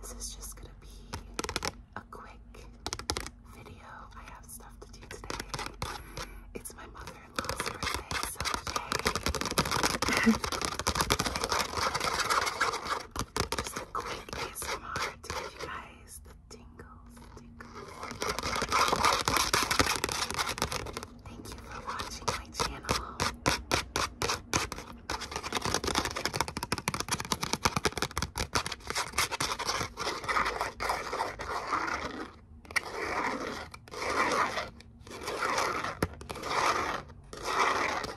This is just going to be a quick video. I have stuff to do today. It's my mother in law's birthday, so just a quick ASMR you guys the tingles, tingles. Thank you for watching my channel.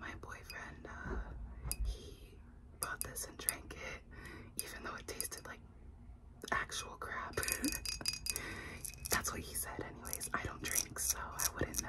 My boyfriend, uh, he bought this and drank it, even though it tasted like actual crap. That's what he said, anyways. I don't drink, so I wouldn't know.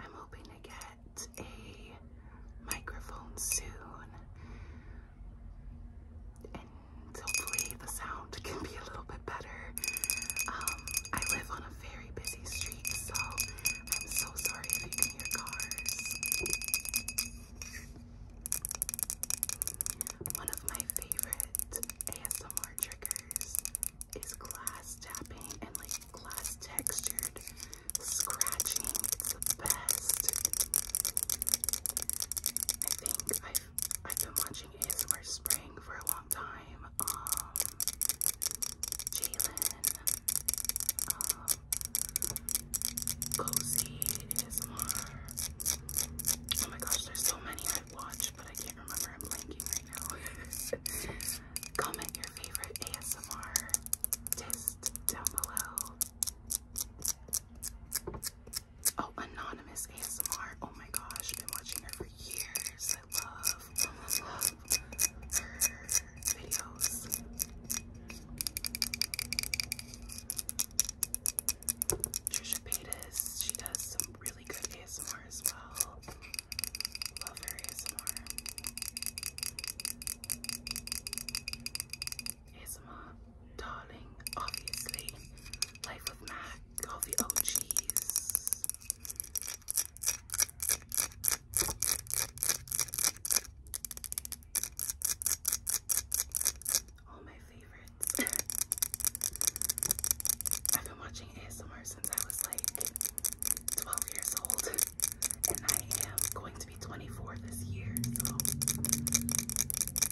I'm hoping to get a microphone soon and hopefully the sound can be a little bit better. Um, I live on a very busy street, so I'm so sorry if you hear cars. One of my favorite ASMR triggers is glass tapping and like glass textured scratching. It's the best. I think I've I've been watching ASMR Spring for a long time. Um Jalen. Um Cozy ASMR. Oh my gosh, there's so many I've watched. Comment your favorite ASMR test down below. Oh, anonymous ASMR. Oh my gosh, been watching her for years. I love, love, love her videos. Trisha Paytas, she does some really really good ASMR Love her ASMR. darling, obviously. Life with Mac, all the OGs. All my favorites. I've been watching ASMR since I was like 12 years old, and I am going to be 24 this year, so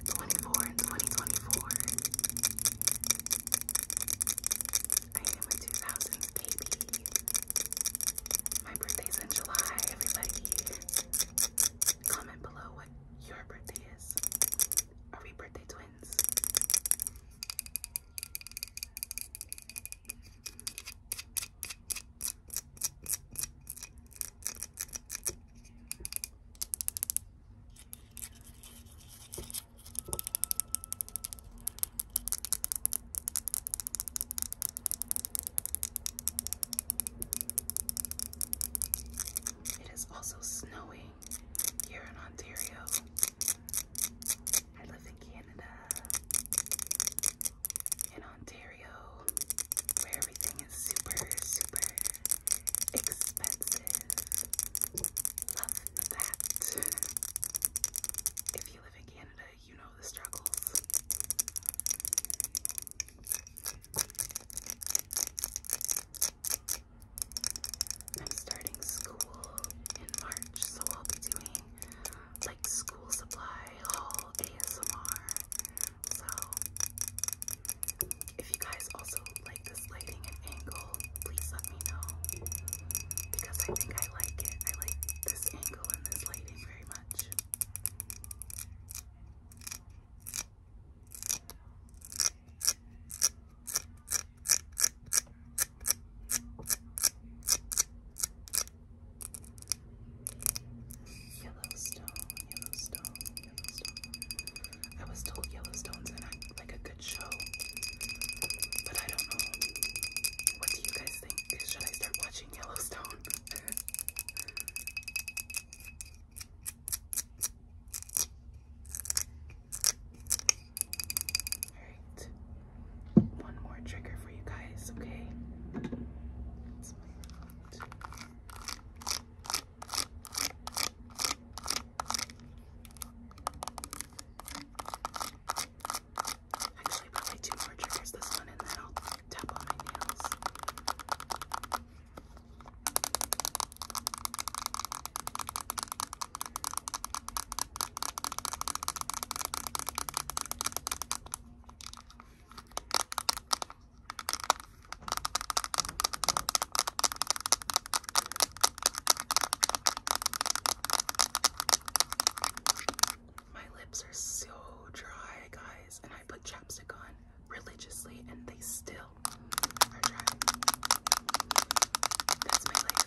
24 in 2024. I am a 2000s baby. My birthday's in July, everybody. Comment below what your birthday is. Are we birthday twins? It is also snowing here in Ontario. I live in Canada, in Ontario, where everything is super, super expensive. Love that. If you live in Canada, you know the struggles. I'm starting school in March, so I'll be doing like school supply haul ASMR. So if you guys also like this lighting and angle, please let me know because I think I like it. I like this angle and this lighting very much. Yellowstone, Yellowstone, Yellowstone. I was told Yellowstone's in a, like a good show, but I don't know. What do you guys think? Should I start watching Yellowstone? Alright. One more trigger for you guys, okay? Actually, probably two more triggers, this one, and then I'll tap on my nails. My lips are so dry, guys, and I put chapstick on religiously and they still are That's my life.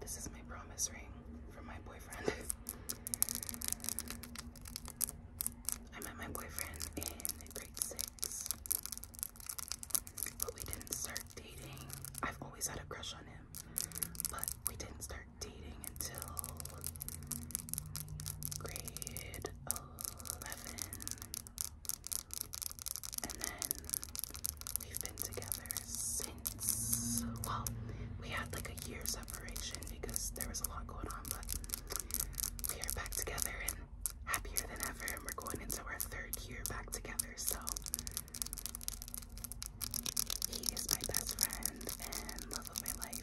This is my promise ring from my boyfriend. I met my boyfriend in grade six, but we didn't start dating. I've always had a crush on him, but we didn't start dating until grade 11. And then we've been together since, well, we had like a year separation because there was a lot going on, but we are back together and happier than ever. And we're going into our third year back together. So he is my best friend and love of my life.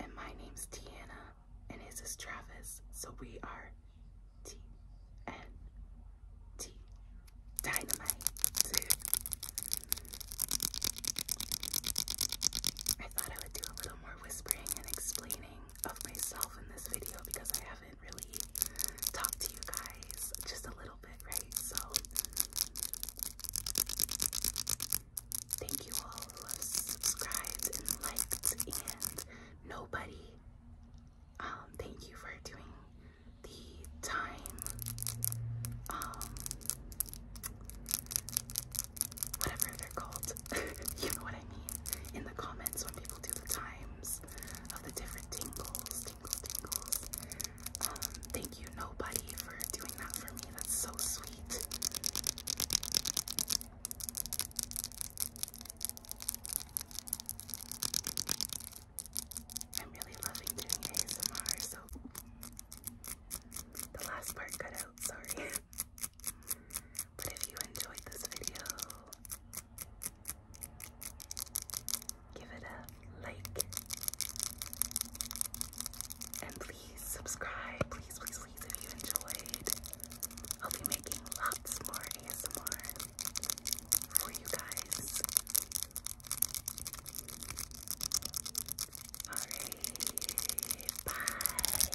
And my name's Tiana, and his is Travis, so we are T N T Dynamite. I thought I would do a little more whispering and explaining of myself in this video because I haven't really talked to you guys just a little bit, right? So, thank you all who subscribed and liked, and nobody, um, thank you for doing the time, um, whatever they're called, you know what I mean, in the comments when people do the times of the different tingles, um, thank you, nobody, for doing that for me. That's so sweet. I'm really loving doing ASMR, so the last part cut out, sorry. but if you enjoyed this video, Give it a like. And please subscribe. Please, please, please, if you enjoyed. I'll be making lots more ASMR for you guys. Alright, bye.